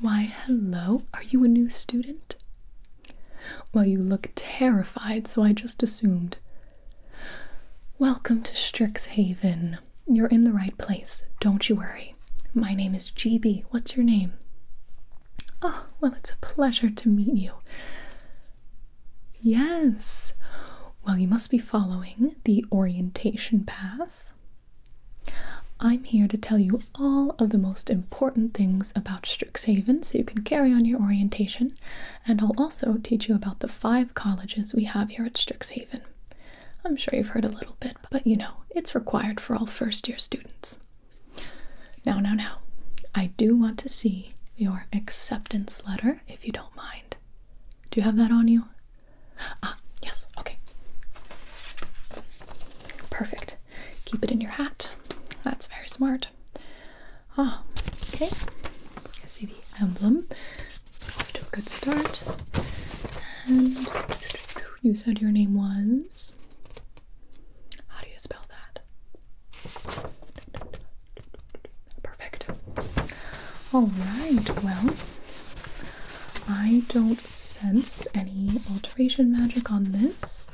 Why, hello. Are you a new student? Well, you look terrified, so I just assumed. Welcome to Strixhaven. You're in the right place. Don't you worry. My name is GB. What's your name? Oh, well, it's a pleasure to meet you. Yes. Well, you must be following the orientation path. I'm here to tell you all of the most important things about Strixhaven so you can carry on your orientation, and I'll also teach you about the five colleges we have here at Strixhaven. I'm sure you've heard a little bit, but you know, it's required for all first year students. Now, now, now, I do want to see your acceptance letter if you don't mind. Do you have that on you? Ah, yes, okay. Perfect. Keep it in your hat. That's very smart. Ah, okay. see the emblem. Off to a good start. And you said your name was. How do you spell that? Perfect. Alright, well, I don't sense any alteration magic on this.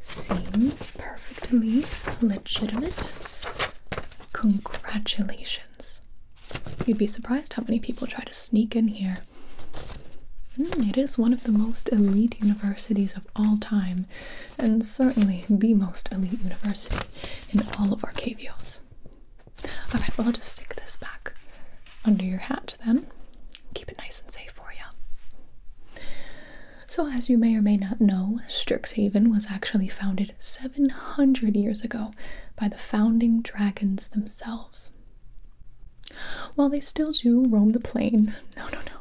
Seems perfectly legitimate. Congratulations. You'd be surprised how many people try to sneak in here. Hmm, it is one of the most elite universities of all time, and certainly the most elite university in all of Arcavios. Alright, well, I'll just stick this back under your hat then. Keep it nice and safe for you. So, as you may or may not know, Strixhaven was actually founded 700 years ago by the founding dragons themselves. While they still do roam the plane, no, no, no,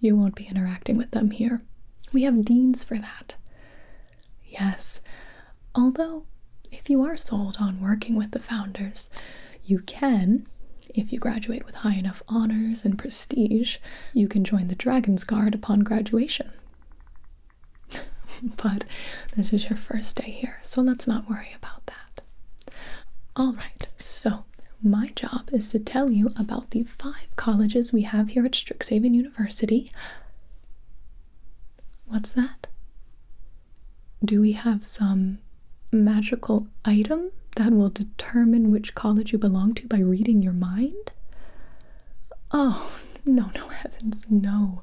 you won't be interacting with them here. We have deans for that. Yes, although if you are sold on working with the founders, you can, if you graduate with high enough honors and prestige, you can join the Dragon's Guard upon graduation. but this is your first day here, so let's not worry about that. Alright, so my job is to tell you about the five colleges we have here at Strixhaven University What's that? Do we have some magical item that will determine which college you belong to by reading your mind? Oh, no, no, heavens, no.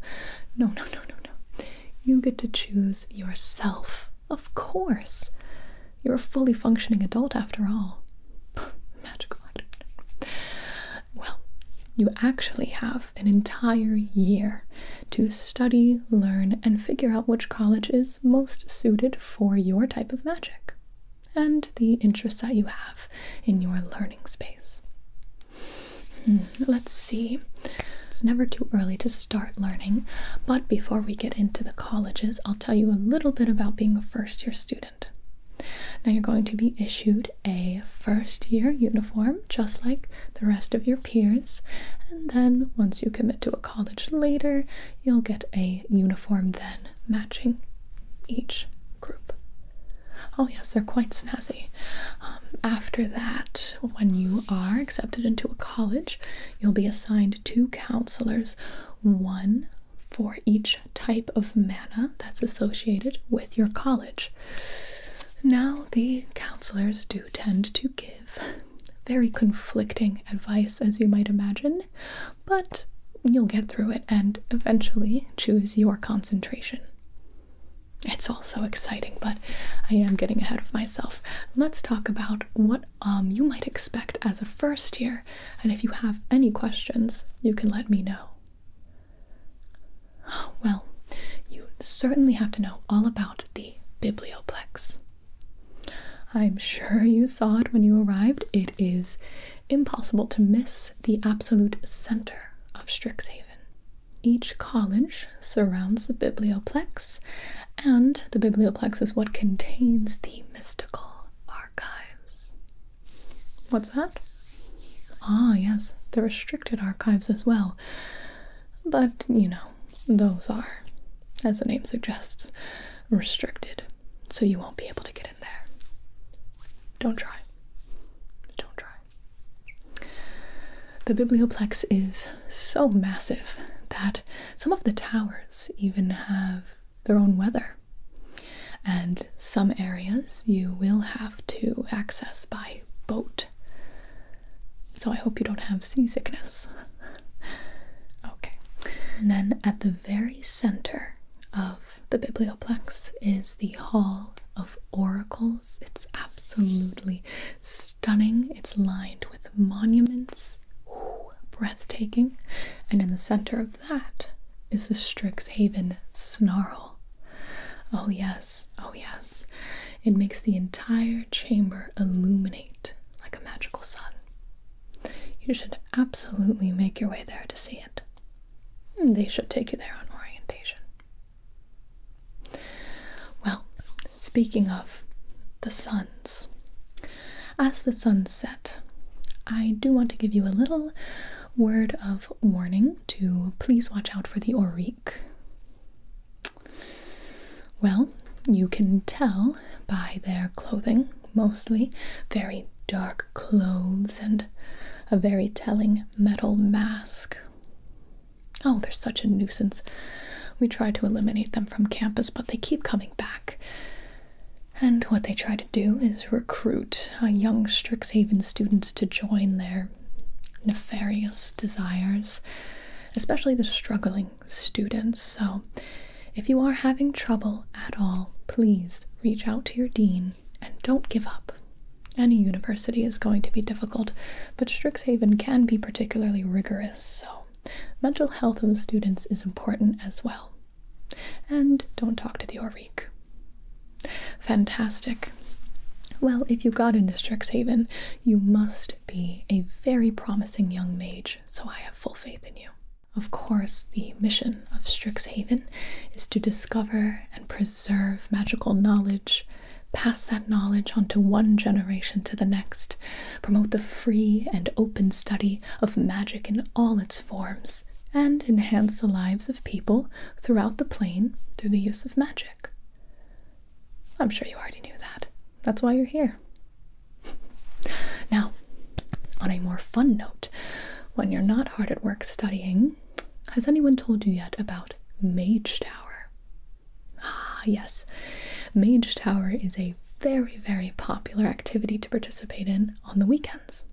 No, no, no, no, no. You get to choose yourself, of course. You're a fully functioning adult after all. Magical item. Well, you actually have an entire year to study, learn, and figure out which college is most suited for your type of magic and the interests that you have in your learning space. Hmm, let's see. It's never too early to start learning, but before we get into the colleges, I'll tell you a little bit about being a first year student. Now you're going to be issued a first year uniform, just like the rest of your peers, and then once you commit to a college later, you'll get a uniform then matching each group. Oh, yes, they're quite snazzy. Um, after that, when you are accepted into a college, you'll be assigned two counselors, one for each type of mana that's associated with your college. Now, the counselors do tend to give very conflicting advice, as you might imagine, but you'll get through it and eventually choose your concentration. It's all so exciting, but I am getting ahead of myself. Let's talk about what um, you might expect as a first year, and if you have any questions, you can let me know. Well, you certainly have to know all about the Biblioplex. I'm sure you saw it when you arrived. It is impossible to miss the absolute center of Strixhaven. Each college surrounds the Biblioplex, and the Biblioplex is what contains the mystical archives. What's that? Ah, yes, the restricted archives as well. But, you know, those are, as the name suggests, restricted. So you won't be able to get in there. Don't try. Don't try. The biblioplex is so massive that some of the towers even have their own weather and some areas you will have to access by boat. So I hope you don't have seasickness. okay. And then at the very center of the biblioplex is the Hall of Oracles. It's absolutely stunning. It's lined with monuments. Ooh, breathtaking. And in the center of that is the Strixhaven Snarl. Oh, yes, oh, yes. It makes the entire chamber illuminate like a magical sun. You should absolutely make your way there to see it. Hmm, they should take you there on orientation. Well, speaking of the suns, as the sun set, I do want to give you a little word of warning to please watch out for the Oric. Well, you can tell by their clothing, mostly very dark clothes and a very telling metal mask. Oh, they're such a nuisance. We try to eliminate them from campus, but they keep coming back. And what they try to do is to recruit uh, young Strixhaven students to join their nefarious desires, especially the struggling students. So, if you are having trouble at all, please reach out to your dean and don't give up. Any university is going to be difficult, but Strixhaven can be particularly rigorous, so mental health of the students is important as well. And don't talk to the Orreek. Fantastic. Well, if you got into Strixhaven, you must be a very promising young mage, so I have full faith in you. Of course, the mission of Strixhaven is to discover and preserve magical knowledge, pass that knowledge on to one generation to the next, promote the free and open study of magic in all its forms, and enhance the lives of people throughout the plane through the use of magic. I'm sure you already knew that. That's why you're here. now, on a more fun note, when you're not hard at work studying, has anyone told you yet about Mage Tower? Ah, yes. Mage Tower is a very, very popular activity to participate in on the weekends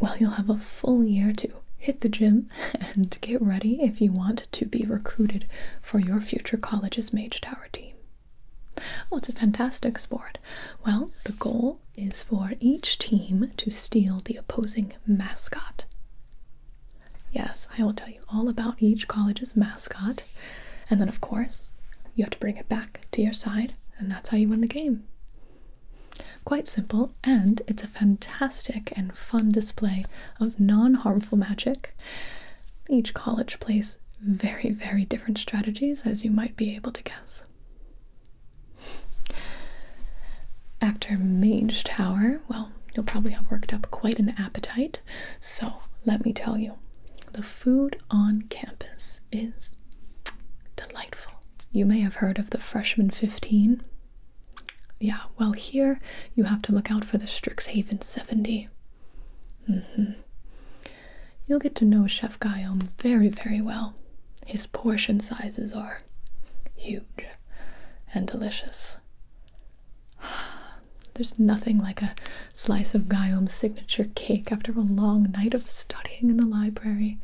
well, you'll have a full year to hit the gym and get ready if you want to be recruited for your future college's Mage Tower team. Oh, it's a fantastic sport. Well, the goal is for each team to steal the opposing mascot. Yes, I will tell you all about each college's mascot. And then, of course, you have to bring it back to your side, and that's how you win the game. Quite simple, and it's a fantastic and fun display of non harmful magic. Each college plays very, very different strategies, as you might be able to guess. After Mage Tower, well, you'll probably have worked up quite an appetite, so let me tell you the food on campus is delightful. You may have heard of the Freshman 15. Yeah, well, here you have to look out for the Strixhaven 70. Mm-hmm. You'll get to know Chef Guillaume very, very well. His portion sizes are huge and delicious. There's nothing like a slice of Guillaume's signature cake after a long night of studying in the library.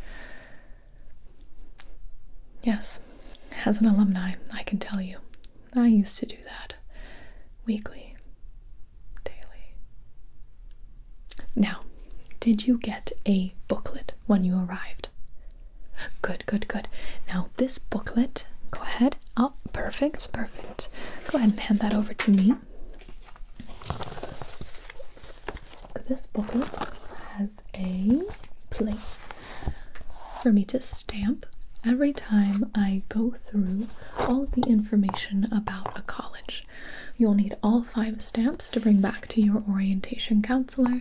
Yes, as an alumni, I can tell you, I used to do that weekly, daily. Now, did you get a booklet when you arrived? Good, good, good. Now, this booklet, go ahead. Oh, perfect, perfect. Go ahead and hand that over to me. This booklet has a place for me to stamp every time I go through all of the information about a college. You'll need all five stamps to bring back to your orientation counselor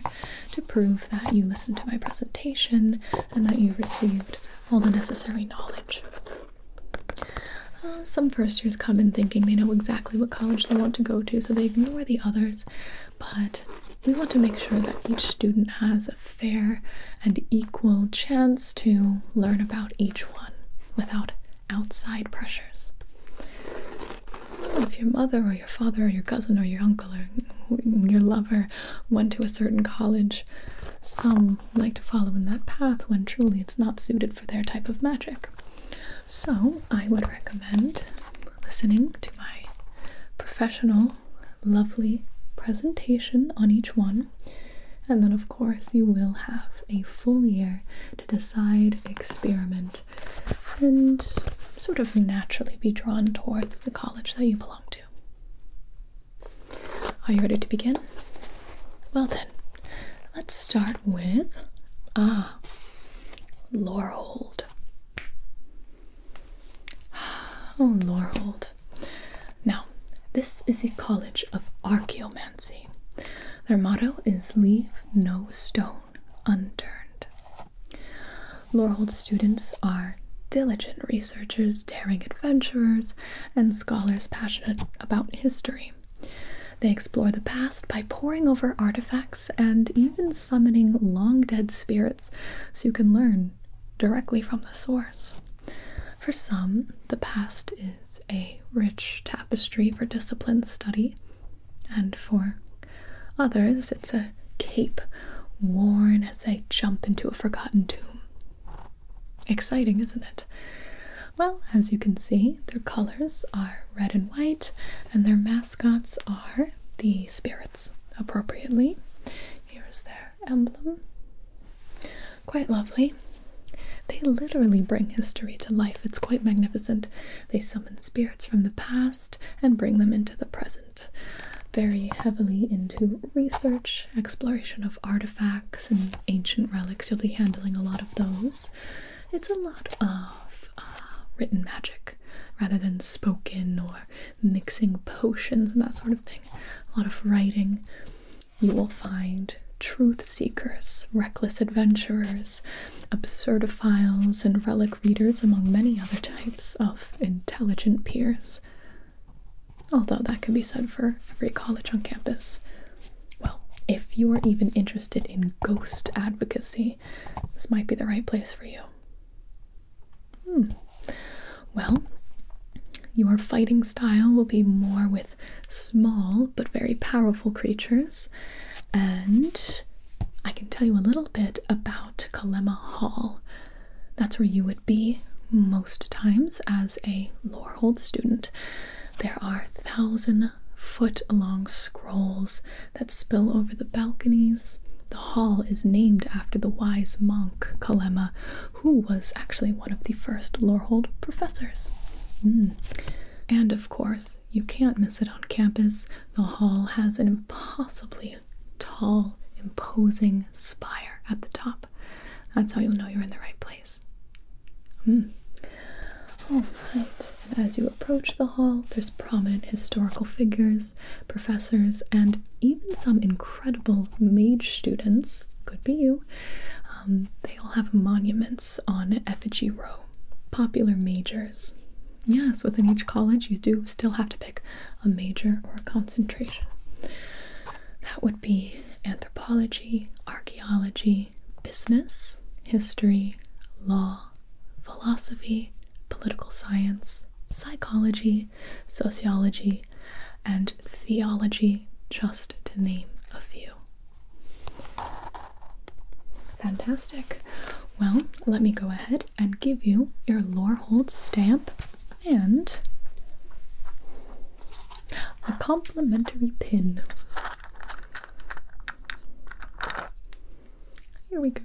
to prove that you listened to my presentation and that you received all the necessary knowledge. Uh, some first years come in thinking they know exactly what college they want to go to, so they ignore the others but we want to make sure that each student has a fair and equal chance to learn about each one without outside pressures. if your mother or your father or your cousin or your uncle or your lover went to a certain college, some like to follow in that path when truly it's not suited for their type of magic. So, I would recommend listening to my professional, lovely presentation on each one. And then, of course, you will have a full year to decide, experiment, and sort of naturally be drawn towards the college that you belong to. Are you ready to begin? Well, then, let's start with. Ah, Laurelhold. Oh, Lorhold. Now, this is the college of archaeomancy. Their motto is Leave no stone unturned. Lorhold students are diligent researchers, daring adventurers, and scholars passionate about history. They explore the past by poring over artifacts and even summoning long dead spirits so you can learn directly from the source. For some, the past is a rich tapestry for disciplined study, and for others, it's a cape worn as they jump into a forgotten tomb. Exciting, isn't it? Well, as you can see, their colors are red and white, and their mascots are the spirits appropriately. Here is their emblem. Quite lovely. They literally bring history to life. It's quite magnificent. They summon spirits from the past and bring them into the present. Very heavily into research, exploration of artifacts and ancient relics. You'll be handling a lot of those. It's a lot of uh, written magic rather than spoken or mixing potions and that sort of thing, a lot of writing. You will find truth seekers, reckless adventurers, absurdophiles, and relic readers, among many other types of intelligent peers. Although that could be said for every college on campus. Well, if you are even interested in ghost advocacy, this might be the right place for you. Hmm. Well, your fighting style will be more with small but very powerful creatures, and I can tell you a little bit about Kalema Hall. That's where you would be most times as a Lorehold student. There are thousand foot long scrolls that spill over the balconies. The hall is named after the wise monk Kalema, who was actually one of the first Lorehold professors. Hmm. And of course, you can't miss it on campus. The hall has an impossibly tall, imposing spire at the top. That's how you'll know you're in the right place. Hmm. All right, and as you approach the hall, there's prominent historical figures professors, and even some incredible mage students, could be you, um, they all have monuments on Effigy Row. Popular majors. Yes, within each college, you do still have to pick a major or a concentration. That would be anthropology, archaeology, business, history, law, philosophy, political science, psychology, sociology, and theology, just to name a few. Fantastic. Well, let me go ahead and give you your Lorehold stamp and a complimentary pin. Here we go.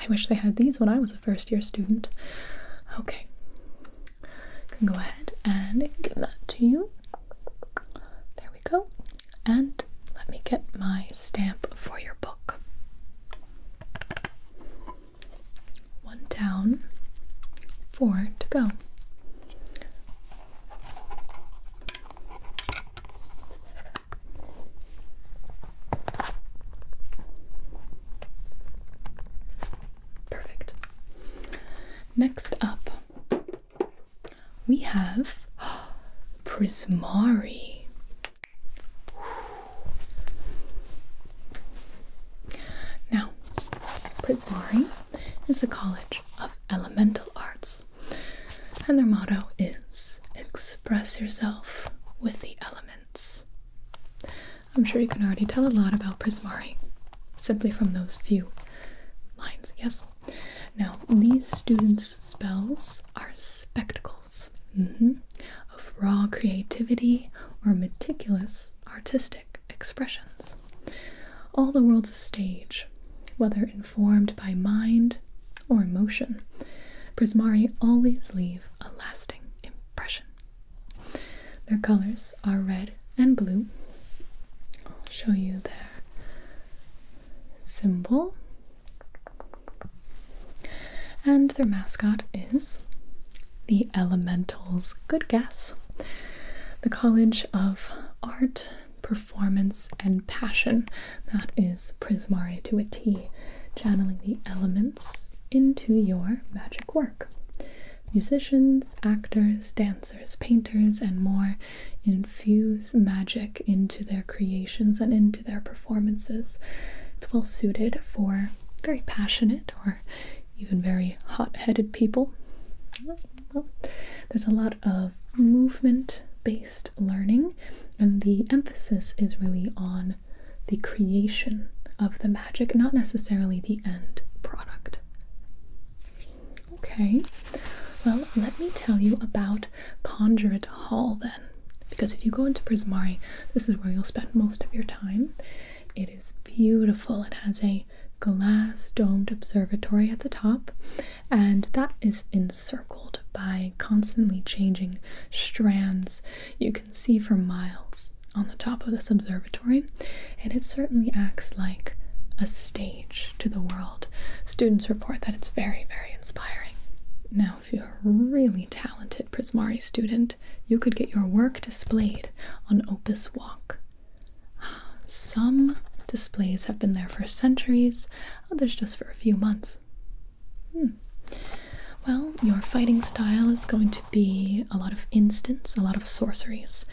I wish they had these when I was a first year student. Okay. Can go ahead and give that to you. There we go. And let me get my stamp for your book. One down, four to go. Perfect. Next up, we have Prismari. Now, Prismari is a college of Elemental Arts. And their motto is Express Yourself with the Elements. I'm sure you can already tell a lot about Prismari simply from those few lines, yes? Now, these students' spells are spectacles mm-hmm, of raw creativity or meticulous artistic expressions all the world's a stage, whether informed by mind or emotion. Prismari always leave a lasting impression. Their colors are red and blue. I'll show you their symbol. And their mascot is the Elementals. Good guess. The College of Art, performance, and passion. That is Prismari to a T, channeling the elements into your magic work. Musicians, actors, dancers, painters, and more infuse magic into their creations and into their performances. It's well suited for very passionate or even very hot headed people. Well, there's a lot of movement based learning, and the emphasis is really on the creation of the magic, not necessarily the end product. Okay, well, let me tell you about Conjurate Hall then. Because if you go into Prismari, this is where you'll spend most of your time. It is beautiful. It has a glass domed observatory at the top, and that is encircled by constantly changing strands you can see for miles on the top of this observatory, and it certainly acts like a stage to the world. Students report that it's very, very inspiring. Now, if you're a really talented Prismari student, you could get your work displayed on Opus Walk, some displays have been there for centuries, others just for a few months. Hmm. Well, your fighting style is going to be a lot of instants, a lot of sorceries,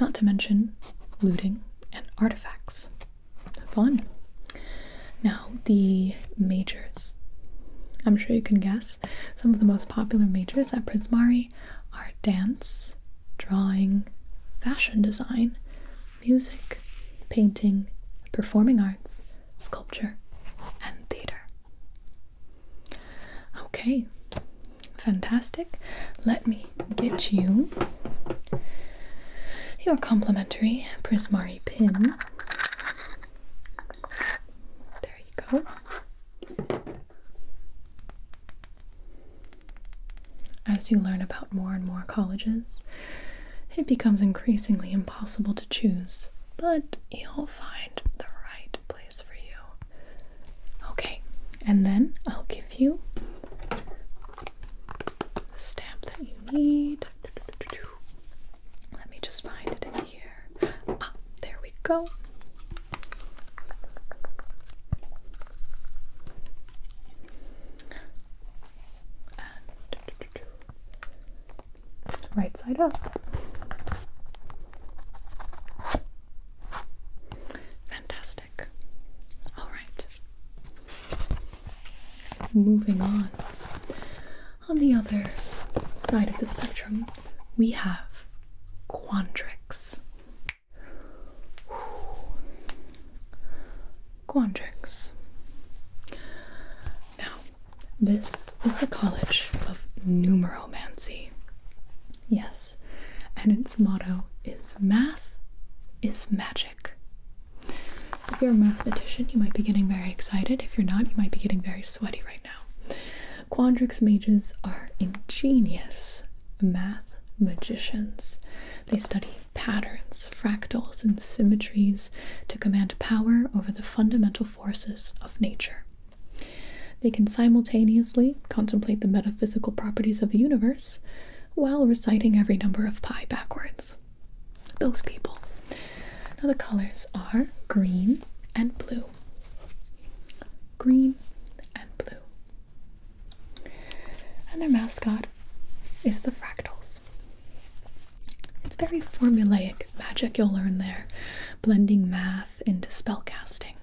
not to mention looting and artifacts. Fun. Now, the majors. I'm sure you can guess some of the most popular majors at Prismari are dance, drawing, fashion design, music, painting, performing arts, sculpture, and theatre. Okay, fantastic. Let me get you your complimentary Prismari pin. There you go. As you learn about more and more colleges, it becomes increasingly impossible to choose, but you'll find the right place for you. Okay, and then I'll give you the stamp that you need. Let me just find it in here. Ah, there we go right side up. Fantastic. All right. Moving on. On the other side of the spectrum, we have Quandrix. Quandrix. Now, this is the College of Numeromancy. Yes, and its motto is Math is Magic. If you're a mathematician, you might be getting very excited. If you're not, you might be getting very sweaty right now. Quandrix mages are ingenious math magicians. They study patterns, fractals, and symmetries to command power over the fundamental forces of nature. They can simultaneously contemplate the metaphysical properties of the universe while reciting every number of pi backwards. Those people. Now, the colors are green and blue. Green and blue. And their mascot is the Fractals. It's very formulaic magic you'll learn there, blending math into spellcasting.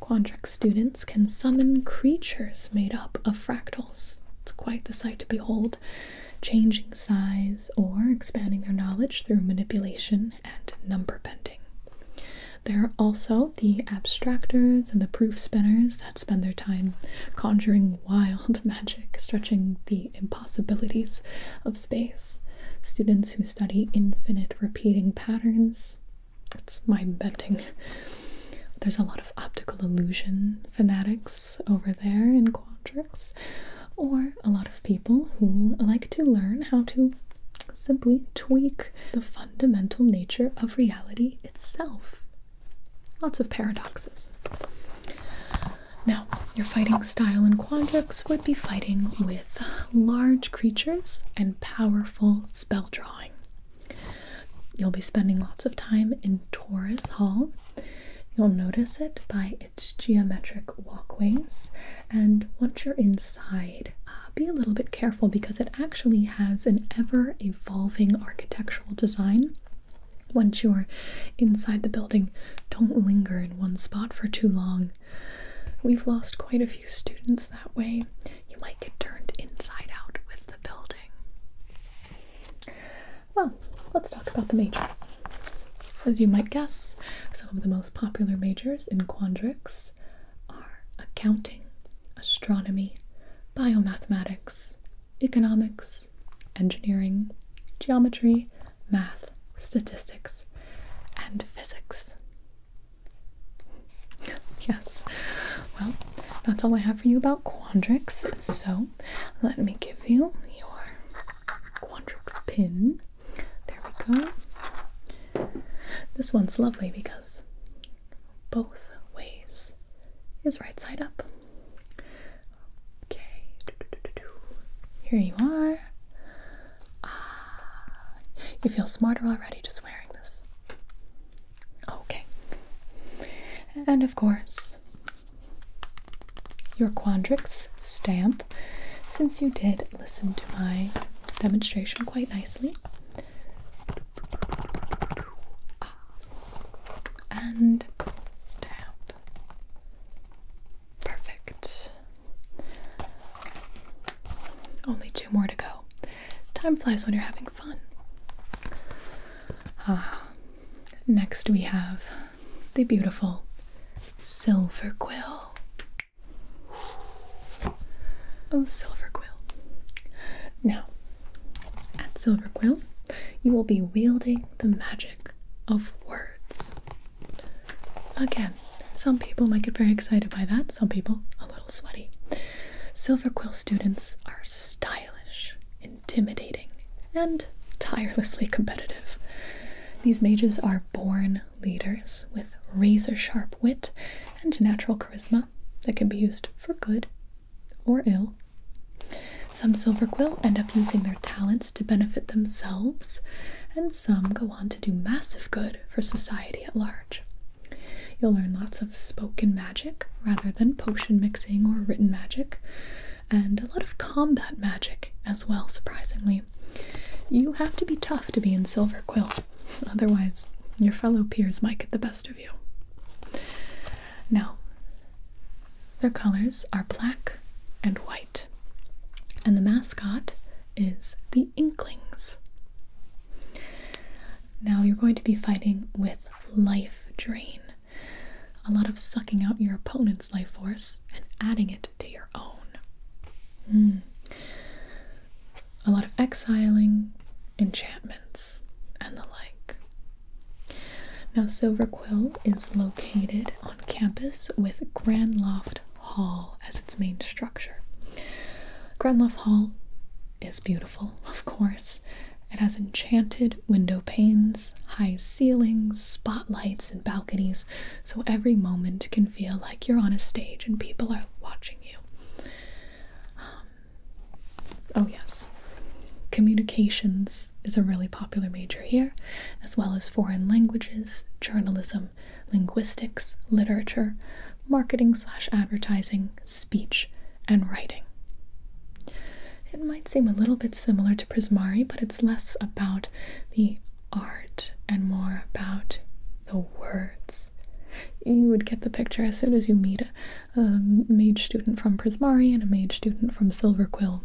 Quandrix students can summon creatures made up of fractals. It's quite the sight to behold, changing size or expanding their knowledge through manipulation and number bending. There are also the abstractors and the proof spinners that spend their time conjuring wild magic, stretching the impossibilities of space. Students who study infinite repeating patterns. It's mind bending. There's a lot of optical illusion fanatics over there in Quadrix, or a lot of people who like to learn how to simply tweak the fundamental nature of reality itself. Lots of paradoxes. Now, your fighting style in Quadrix would be fighting with large creatures and powerful spell drawing. You'll be spending lots of time in Taurus Hall. You'll notice it by its geometric walkways. And once you're inside, uh, be a little bit careful because it actually has an ever evolving architectural design. Once you're inside the building, don't linger in one spot for too long. We've lost quite a few students that way. You might get turned inside out with the building. Well, let's talk about the majors. As you might guess, some of the most popular majors in Quandrix are accounting, astronomy, biomathematics, economics, engineering, geometry, math, statistics, and physics. Yes, well, that's all I have for you about Quandrix. So let me give you your Quandrix pin. There we go. This one's lovely because both ways is right side up. Okay, here you are. Ah, you feel smarter already just wearing this. Okay, and of course, your Quandrix stamp. Since you did listen to my demonstration quite nicely and stamp. Perfect. Only two more to go. Time flies when you're having fun. Ah, next we have the beautiful silver quill. Oh, silver quill. Now, at Silver Quill, you will be wielding the magic of words. Again, some people might get very excited by that, some people a little sweaty. Silver Quill students are stylish, intimidating, and tirelessly competitive. These mages are born leaders with razor sharp wit and natural charisma that can be used for good or ill. Some silver quill end up using their talents to benefit themselves, and some go on to do massive good for society at large. You'll learn lots of spoken magic rather than potion mixing or written magic, and a lot of combat magic as well, surprisingly. You have to be tough to be in silver quill; otherwise, your fellow peers might get the best of you. Now, their colors are black and white, and the mascot is the Inklings. Now, you're going to be fighting with life drain. A lot of sucking out your opponent's life force and adding it to your own. Hmm. A lot of exiling, enchantments, and the like. Now, Silver Quill is located on campus with Grand Loft Hall as its main structure. Grand Loft Hall is beautiful, of course. It has enchanted window panes, high ceilings, spotlights, and balconies, so every moment can feel like you're on a stage and people are watching you. Um, Oh, yes. Communications is a really popular major here, as well as foreign languages, journalism, linguistics, literature, marketing slash advertising, speech, and writing. It might seem a little bit similar to Prismari, but it's less about the art and more about the words. You would get the picture as soon as you meet a mage student from Prismari and a mage student from Silver Quill.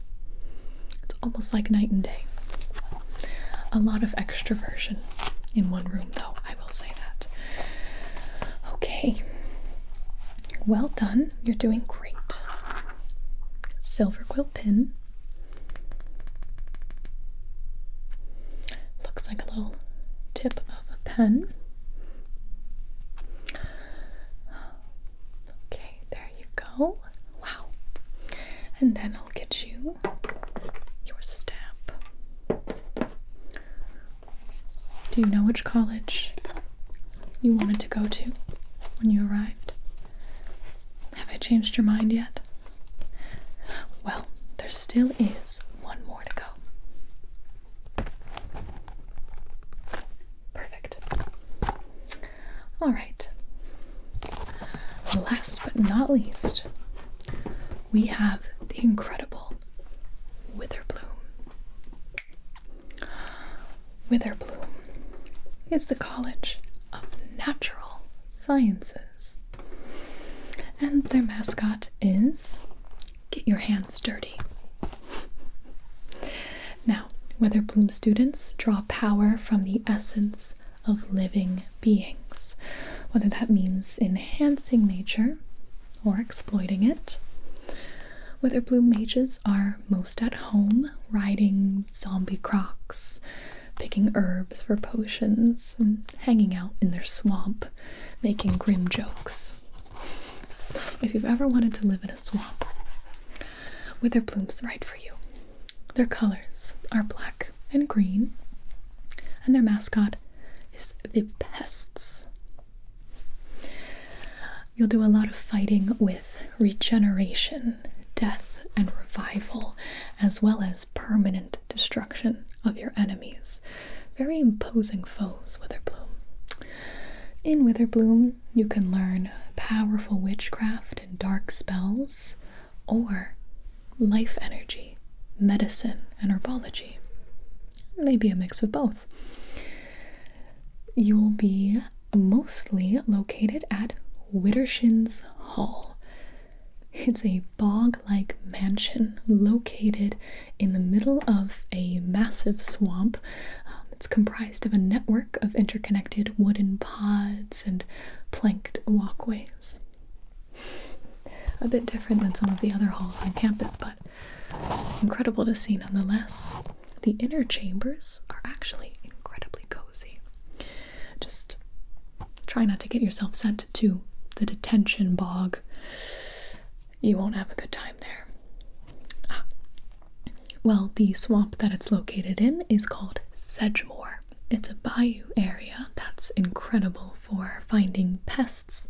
It's almost like night and day. A lot of extroversion in one room, though, I will say that. Okay. Well done. You're doing great. Silver quill pin. Looks like a little tip of a pen. Okay, there you go. Wow. And then I'll get you your stamp. Do you know which college you wanted to go to when you arrived? Have I changed your mind yet? Well, there still is one more to go. Perfect. All right. Last but not least, we have the incredible Witherbloom. Witherbloom is the College of Natural Sciences, and their mascot is get your hands dirty. Now, whether Bloom students draw power from the essence of living beings, whether that means enhancing nature or exploiting it. whether Weatherbloom mages are most at home riding zombie crocs, picking herbs for potions, and hanging out in their swamp, making grim jokes. If you've ever wanted to live in a swamp, with their blooms right for you. Their colors are black and green, and their mascot is the pests. You'll do a lot of fighting with regeneration, death, and revival, as well as permanent destruction of your enemies very imposing foes, Witherbloom. In Witherbloom, you can learn powerful witchcraft and dark spells, or life energy, medicine, and herbology. Maybe a mix of both. You'll be mostly located at Widdershins Hall. It's a bog like mansion located in the middle of a massive swamp. Um, it's comprised of a network of interconnected wooden pods and planked walkways. A bit different than some of the other halls on campus, but incredible to see nonetheless. The inner chambers are actually incredibly cozy. Just try not to get yourself sent to the detention bog you won't have a good time there. Ah. Well, the swamp that it's located in is called Sedgemoor. It's a bayou area that's incredible for finding pests,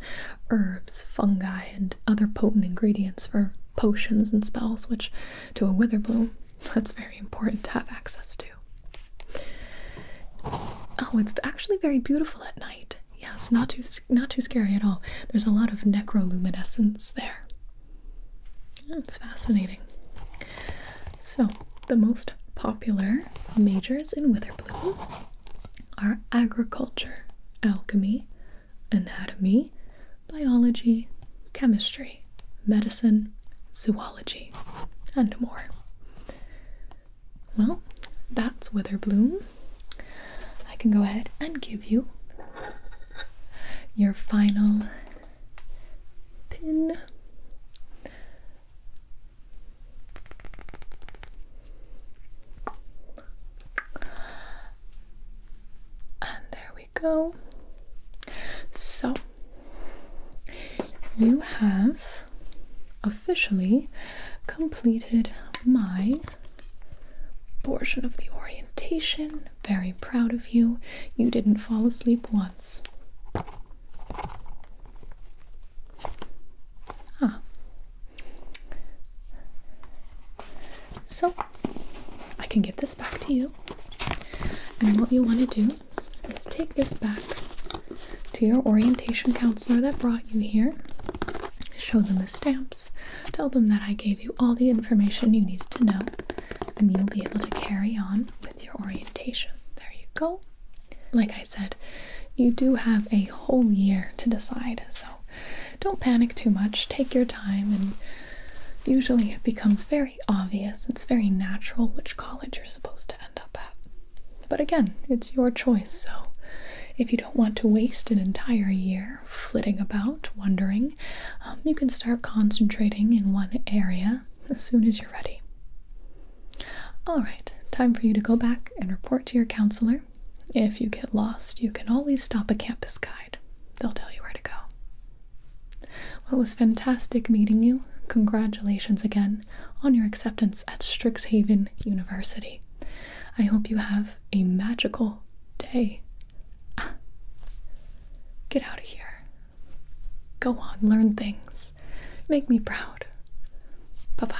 herbs, fungi, and other potent ingredients for potions and spells, which to a witherbloom, that's very important to have access to. Oh, it's actually very beautiful at night. Yes, not too not too scary at all. There's a lot of necroluminescence there. That's fascinating. So the most popular majors in Witherbloom are agriculture, alchemy, anatomy, biology, chemistry, medicine, zoology, and more. Well, that's Witherbloom. I can go ahead and give you your final pin. And there we go. So you have officially completed my portion of the orientation. Very proud of you. You didn't fall asleep once. Huh. Ah. So, I can give this back to you. And what you want to do is take this back to your orientation counselor that brought you here, show them the stamps, Tell them that I gave you all the information you needed to know, and you'll be able to carry on with your orientation. There you go. Like I said, you do have a whole year to decide, so don't panic too much. Take your time, and usually it becomes very obvious. It's very natural which college you're supposed to end up at. But again, it's your choice, so if you don't want to waste an entire year flitting about, wondering, um, you can start concentrating in one area as soon as you're ready. All right, time for you to go back and report to your counselor. If you get lost, you can always stop a campus guide. They'll tell you where to go. Well, it was fantastic meeting you. Congratulations again on your acceptance at Strixhaven University. I hope you have a magical day. Ah. Get out of here. Go on, learn things. Make me proud. Bye bye.